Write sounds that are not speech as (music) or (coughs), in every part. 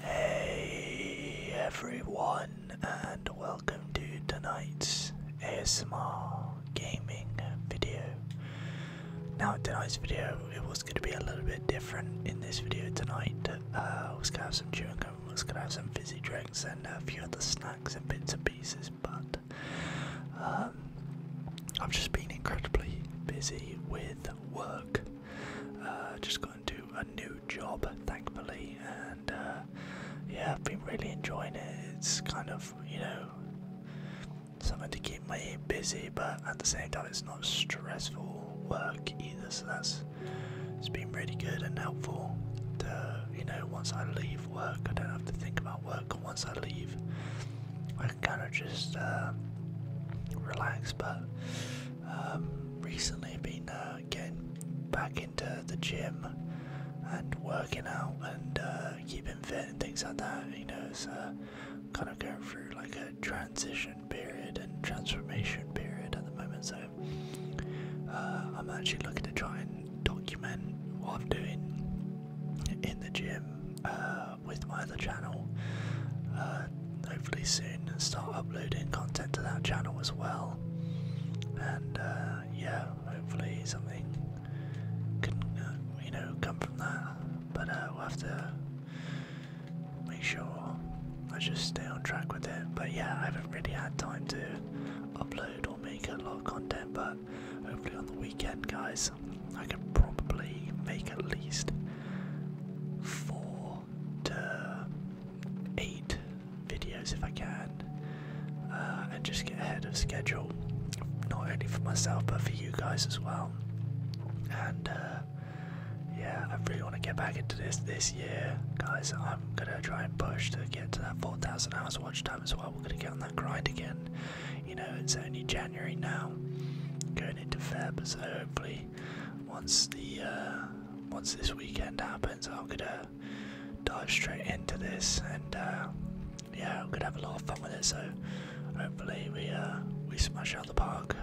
Hey everyone, and welcome to tonight's ASMR gaming video. Now, tonight's video, it was going to be a little bit different in this video tonight. Uh, I was going to have some chewing gum, I was going to have some fizzy drinks, and a few other snacks and bits and pieces, but um, I've just been incredibly busy with work. Uh, just got into a new job, thankfully and uh, yeah, I've been really enjoying it. It's kind of, you know, something to keep my ear busy, but at the same time, it's not stressful work either. So that's it's been really good and helpful. To, uh, you know, once I leave work, I don't have to think about work. And once I leave, I can kind of just uh, relax. But um, recently, I've been. Uh, uh, getting back into the gym and working out and uh, keeping fit and things like that. You know, so uh, kind of going through like a transition period and transformation period at the moment. So I'm actually looking to try and document what I'm doing in the gym with my other channel. hopefully soon and start uploading content to that channel as well. And yeah, hopefully something can, uh, you know, come from that. But uh, we'll have to make sure I just stay on track with it. But yeah, I haven't really had time to upload or make a lot of content. But hopefully on the weekend, guys, I can probably make at least four to eight videos if I can, uh, and just get ahead of schedule, not only for myself but for you guys as well. And uh, yeah, I really want to get back into this this year, guys. I'm gonna try and push to get to that 4,000 hours watch time as well. We're gonna get on that grind again. You know, it's only January now, going into February. so hopefully, once the uh, once this weekend happens, I'm gonna dive straight into this, and uh, yeah, I'm gonna have a lot of fun with it. So hopefully we uh, we smash out the park.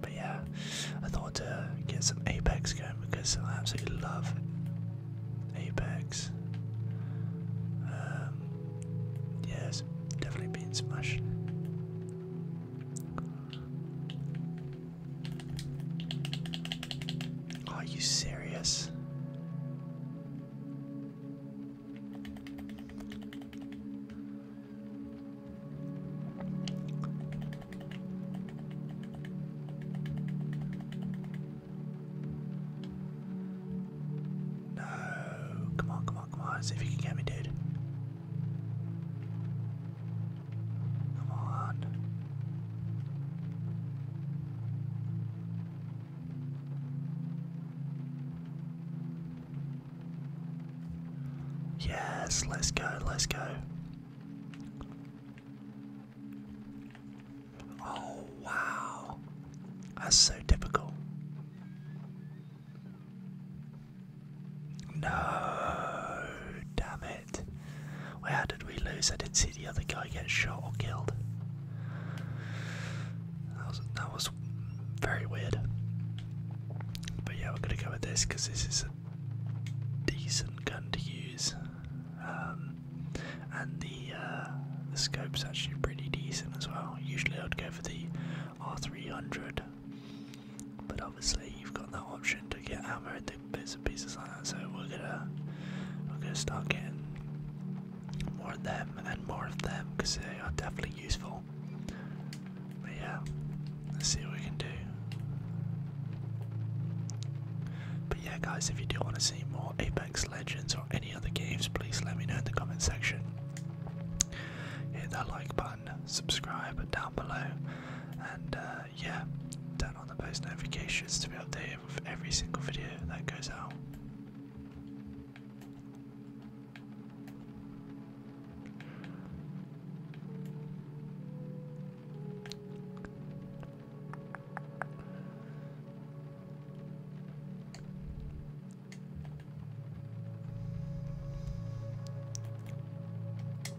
But yeah, I thought to get some Apex going because I absolutely love Apex. Um, yeah, it's definitely been smashed. Are you serious? No, come on, come on, come on. See if you can get me, dude. Come on. Yes, let's go, let's go. Oh, wow. That's so typical. No, damn it. Well, did we lose? I didn't see the other guy get shot or killed. That was, that was very weird. But yeah, we're gonna go with this because this is a decent gun to use. Um, and the, uh, the scope's actually pretty decent as well. Usually I'd go for the R300 but obviously you've got that option to get armor and bits and pieces like that, so we're gonna we're gonna start getting more of them and more of them because they are definitely useful. But yeah, let's see what we can do. But yeah guys, if you do want to see more Apex Legends or any other games, please let me know in the comment section. Hit that like button, subscribe down below, and uh, yeah, turn on the post notifications to be updated with every single video that goes out.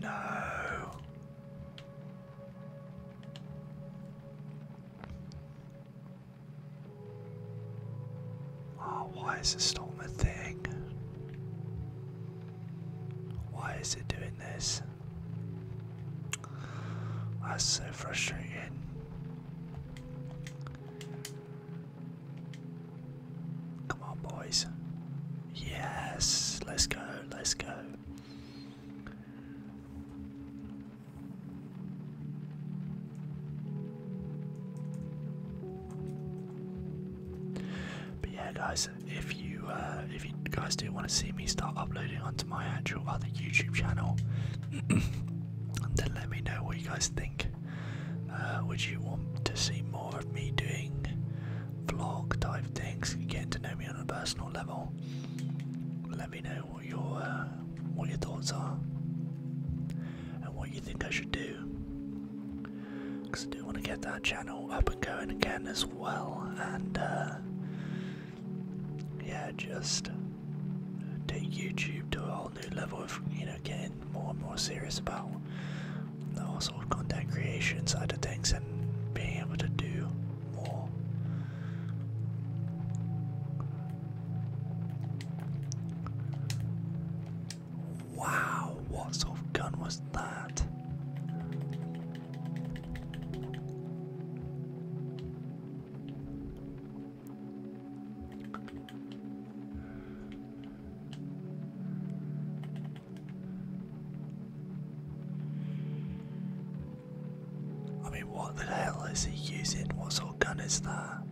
No. Oh, why is the storm a thing? Why is it doing this? That's so frustrating. Come on, boys. Yes, let's go, let's go. But yeah, guys, if you uh, if you guys do want to see me start uploading onto my actual other YouTube channel, (coughs) then let me know what you guys think. Uh, would you want to see more of me doing vlog type things, getting to know me on a personal level. Let me know what your uh, what your thoughts are and what you think I should do. Because I do want to get that channel up and going again as well, and uh, yeah, just take YouTube to a whole new level of you know getting more and more serious about also content creation side of things and being able to do more. Wow, what sort of gun was that? I mean, what the hell is he using? What sort of gun is that?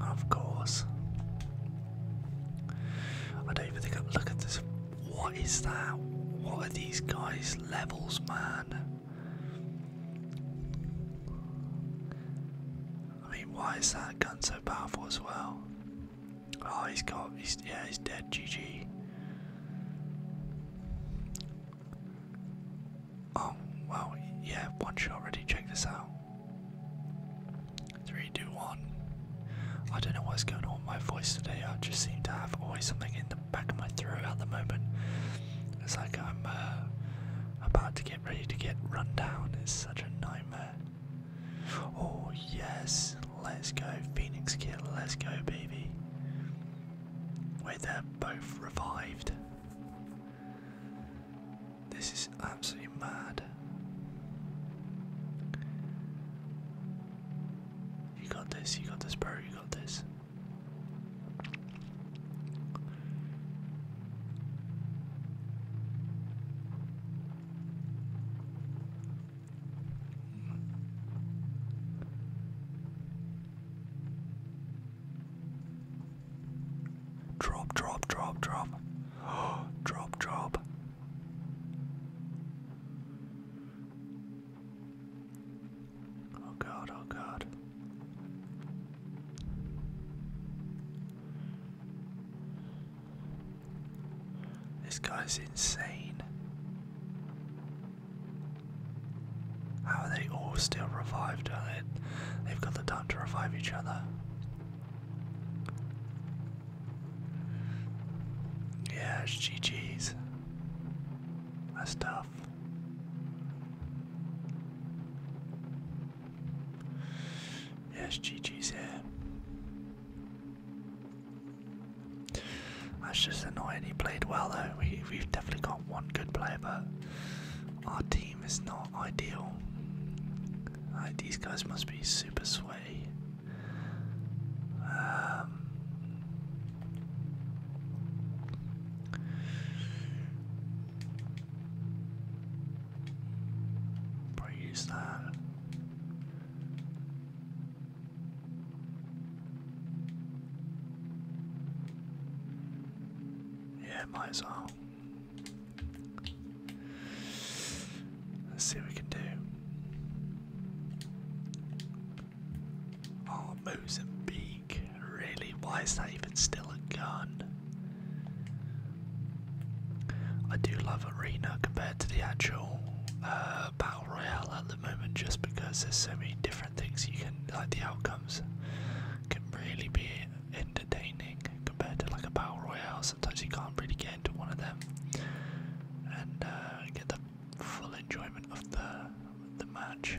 Of course. I don't even think i look at this. What is that? What are these guys' levels, man? I mean, why is that gun so powerful as well? Oh, he's got. He's, yeah, he's dead. GG. Oh, well, yeah, one shot already. Check this out. Three, two, one. I don't know what's going on with my voice today. I just seem to have always something in the back of my throat at the moment. It's like I'm uh, about to get ready to get run down is such a nightmare. Oh yes, let's go, Phoenix Kill, let's go, baby. Wait, they're both revived. This is absolutely mad. You got this, you got this, bro, you got this. Drop, drop, drop, drop. (gasps) drop, drop. Oh god, oh god. This guy's insane. How are they all still revived? They've got the time to revive each other. Yeah, it's GG's. That's tough. Yes, GG's here. That's just annoying. He played well though. We, have definitely got one good player, but our team is not ideal. these guys must be super sway. Um, Probably use that. Yeah, might as well. Let's see what we can do. Oh, really? Why is that even still a gun? I do love Arena compared to the actual uh, Battle Royale at the moment just because there's so many different things you can, like the outcomes can really be entertaining compared to like a Battle Royale. Sometimes you can't really get into one of them and uh, get the full enjoyment of the, the match.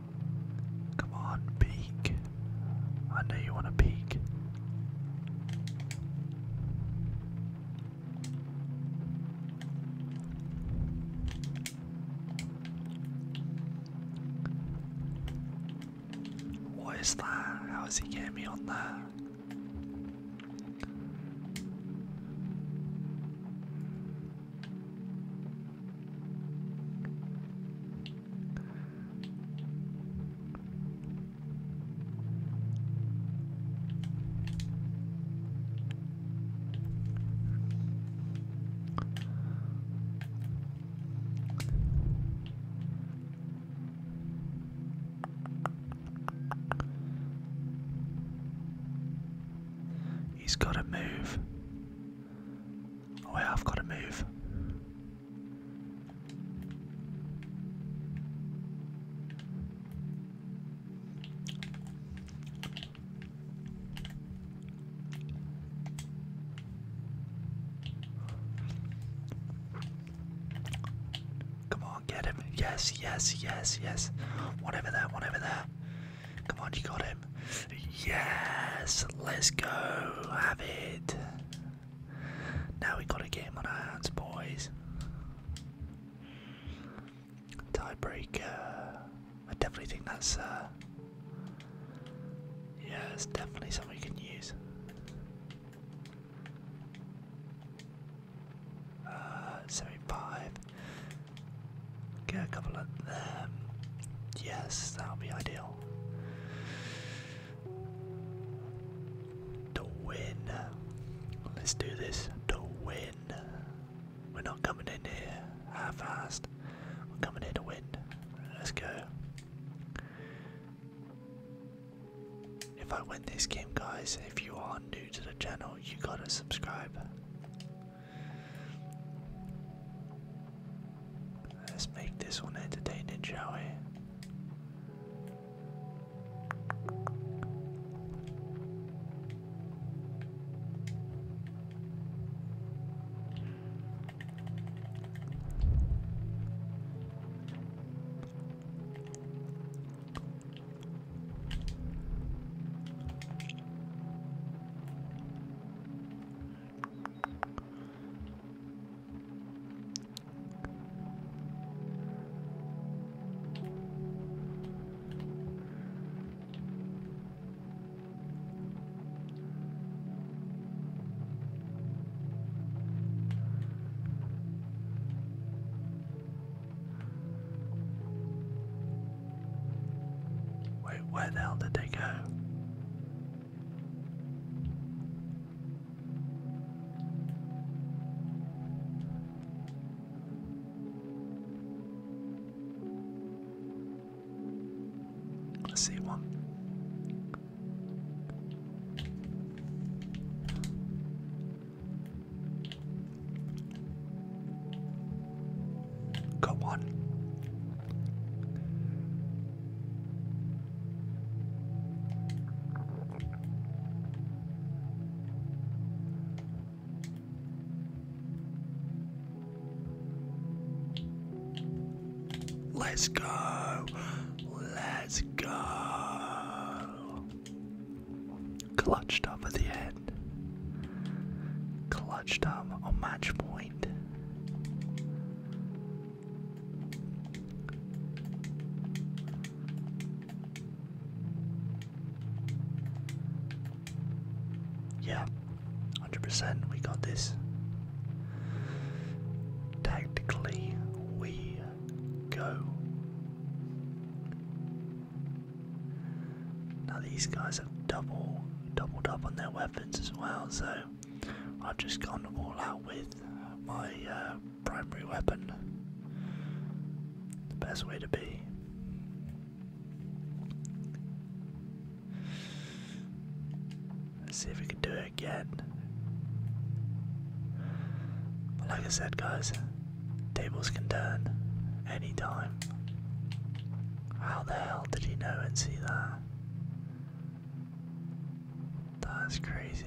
Come on, peek. I know you want to peek. What is that? How is he getting me on that? He's got to move. Oh yeah, I've got to move. Come on, get him. Yes, yes, yes, yes. One over there, one over there. Come on, you got him. Yes, let's go. Have it. Now we got a game on our hands, boys. Tiebreaker. I definitely think that's. Uh, yeah, it's definitely something we can use. Uh, 75. Get a couple of them. Yes, that'll be ideal. To win. Let's do this. To win. We're not coming in here half assed. We're coming here to win. Let's go. If I win this game, guys, if you are new to the channel, you gotta subscribe. Let's make this one entertaining, shall we? Wait, where the hell did they go? I see one. Come on. Let's go. Let's go. Clutched up at the end. Clutched up on match point. Yeah, 100%, we got this. Tactically, we go. Now, these guys have double doubled up on their weapons as well. So I've just gone all out with my uh, primary weapon. The best way to be. Let's see if we can do it again. like I said, guys, tables can turn any time. How the hell did he know and see that? That's crazy.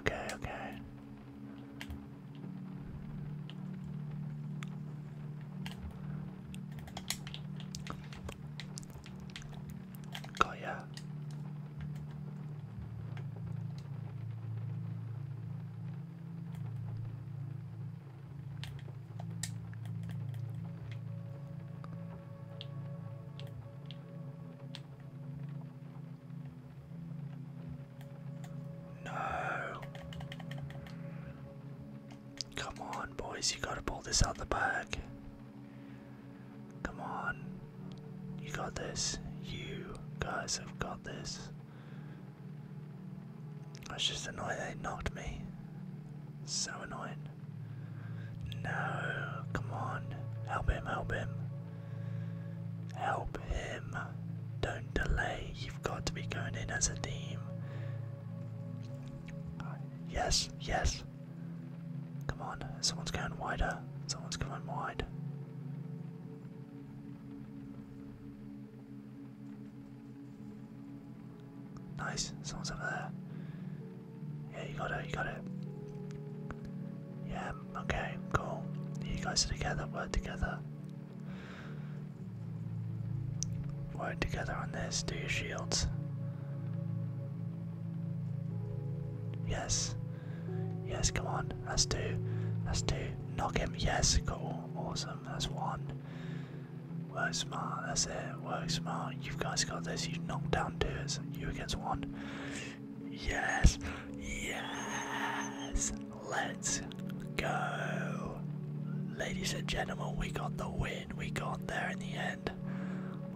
Okay, okay. Got ya. No. Come on, boys, you gotta pull this out the bag. Come on. You got this. You guys have got this. I was just annoyed eh? they knocked me. So annoyed. No, come on. Help him, help him. Help him. Don't delay. You've got to be going in as a team. Yes, yes. Come on, someone's going wider. Someone's going wide. Nice, someone's over there. Yeah, you got it, you got it. Yeah, okay, cool. You guys are together, We're together. We're together on this, do your shields. Yes, Yes, come on. let's do, let's do. Knock him. Yes, cool. Awesome. That's one. Work smart. That's it. Work smart. You guys got this. You knocked down two. It's you against one. Yes. Yes. Let's go. Ladies and gentlemen, we got the win. We got there in the end.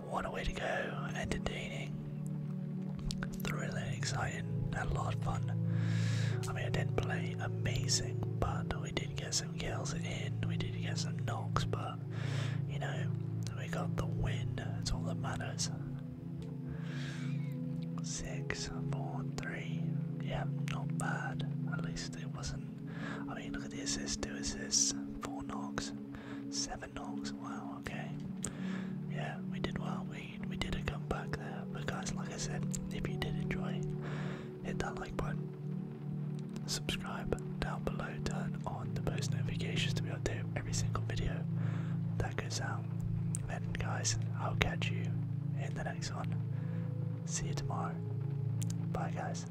What a way to go! Entertaining, thrilling, exciting, Had a lot of fun. I mean, I didn't play amazing, but we did get some kills in, we did get some knocks, but you know, we got the win, It's all that matters. Six, four, three. Yeah, not bad. At least it wasn't. I mean, look at the assist, two assists, four knocks. Seven knocks. Wow. Okay. Yeah, we did well. We we did a comeback there. But guys, like I said, if you did enjoy, hit that like button. Subscribe down below. Turn on the post notifications to be updated every single video that goes out. And guys, I'll catch you in the next one. See you tomorrow. Bye, guys.